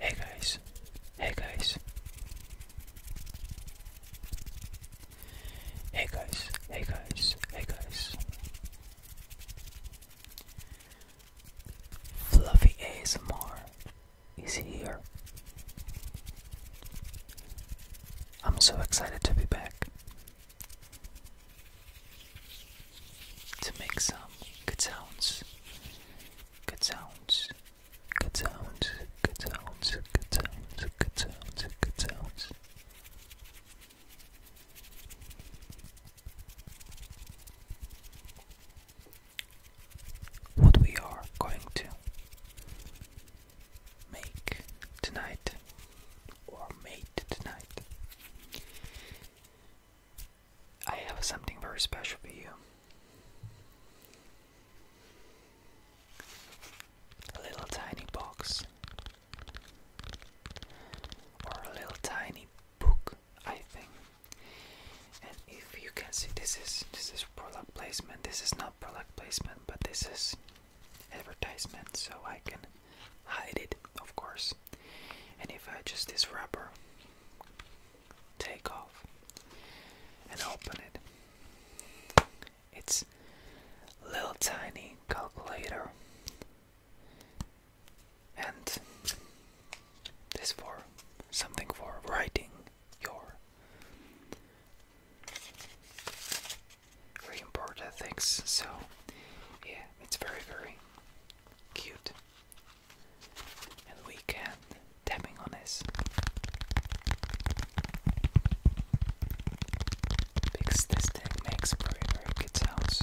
Hey guys, hey guys, hey guys, hey guys, hey guys. Fluffy ASMR is here. I'm so excited to be back to make some good sounds. Good sounds. Good sounds. Good sounds. Good sounds. Good sounds. Good sounds. What we are going to make tonight or made tonight. I have something very special for you. A little tiny box or a little tiny book, I think. And if you can see this is this is product placement. This is not product placement, but this is advertisement so I can hide it, of course. And if I just this wrapper, take off and open it, it's little tiny calculator. And this for something for writing your very important things. So, yeah, it's very, very cute. And we can tapping on this. Because this thing makes very, very good sounds.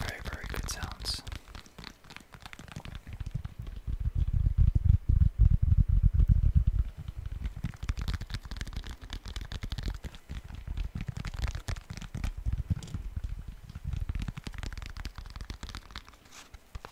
Very, very good sounds.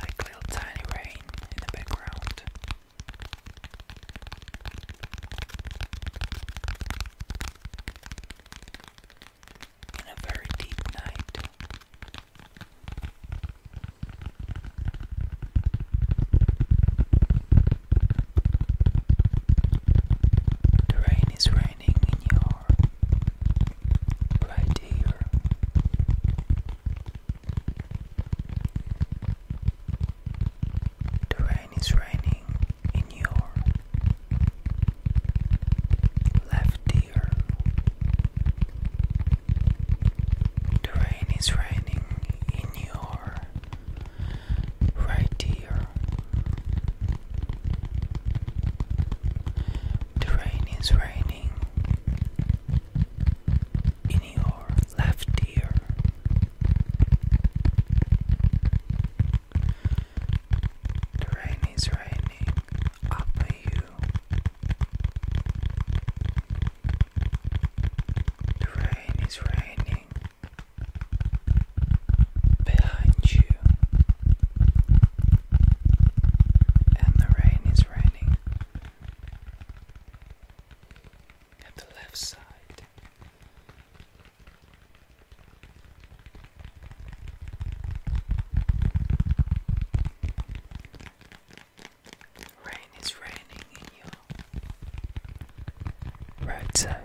Like little tiny rain in the background. In a very deep night. The rain is raining in your right here. The rain is raining in your left ear. The rain is raining in your right ear. The rain is raining in your left ear. The rain is raining up on you. The rain is raining behind you. And the rain is it's raining at the left side. Rain is raining in your right side.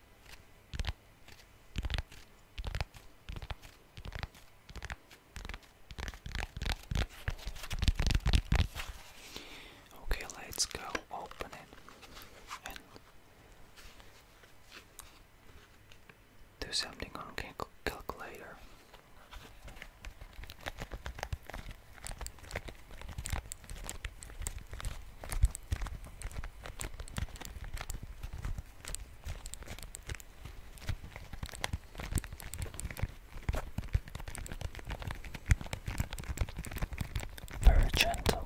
Okay, let's go open it and do something on cal calculator. Very gentle.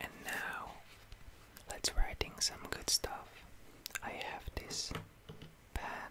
And now let's writing some good stuff. I have this pen.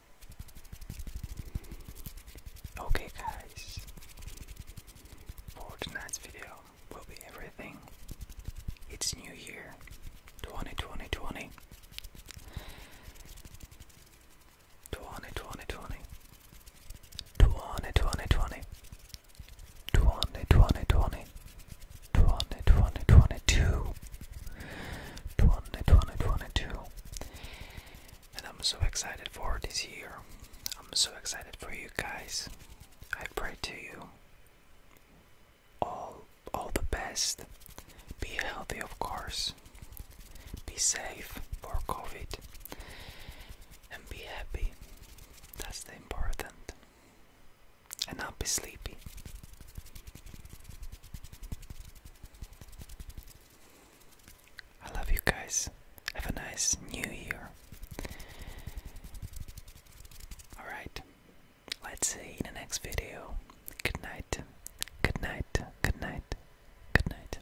Okay, guys, for tonight's video will be everything. It's New Year 2020. 2020. 2020. 2020. 2020. 2020 twenty twenty twenty two twenty twenty twenty two and I'm so excited for this year. I'm so excited for you guys. I pray to you all all the best. Be healthy of course. Be safe for COVID and be happy. That's the important and I'll be sleepy. I love you guys. Have a nice new year. Alright, let's see in the next video. Good night, good night, good night, good night.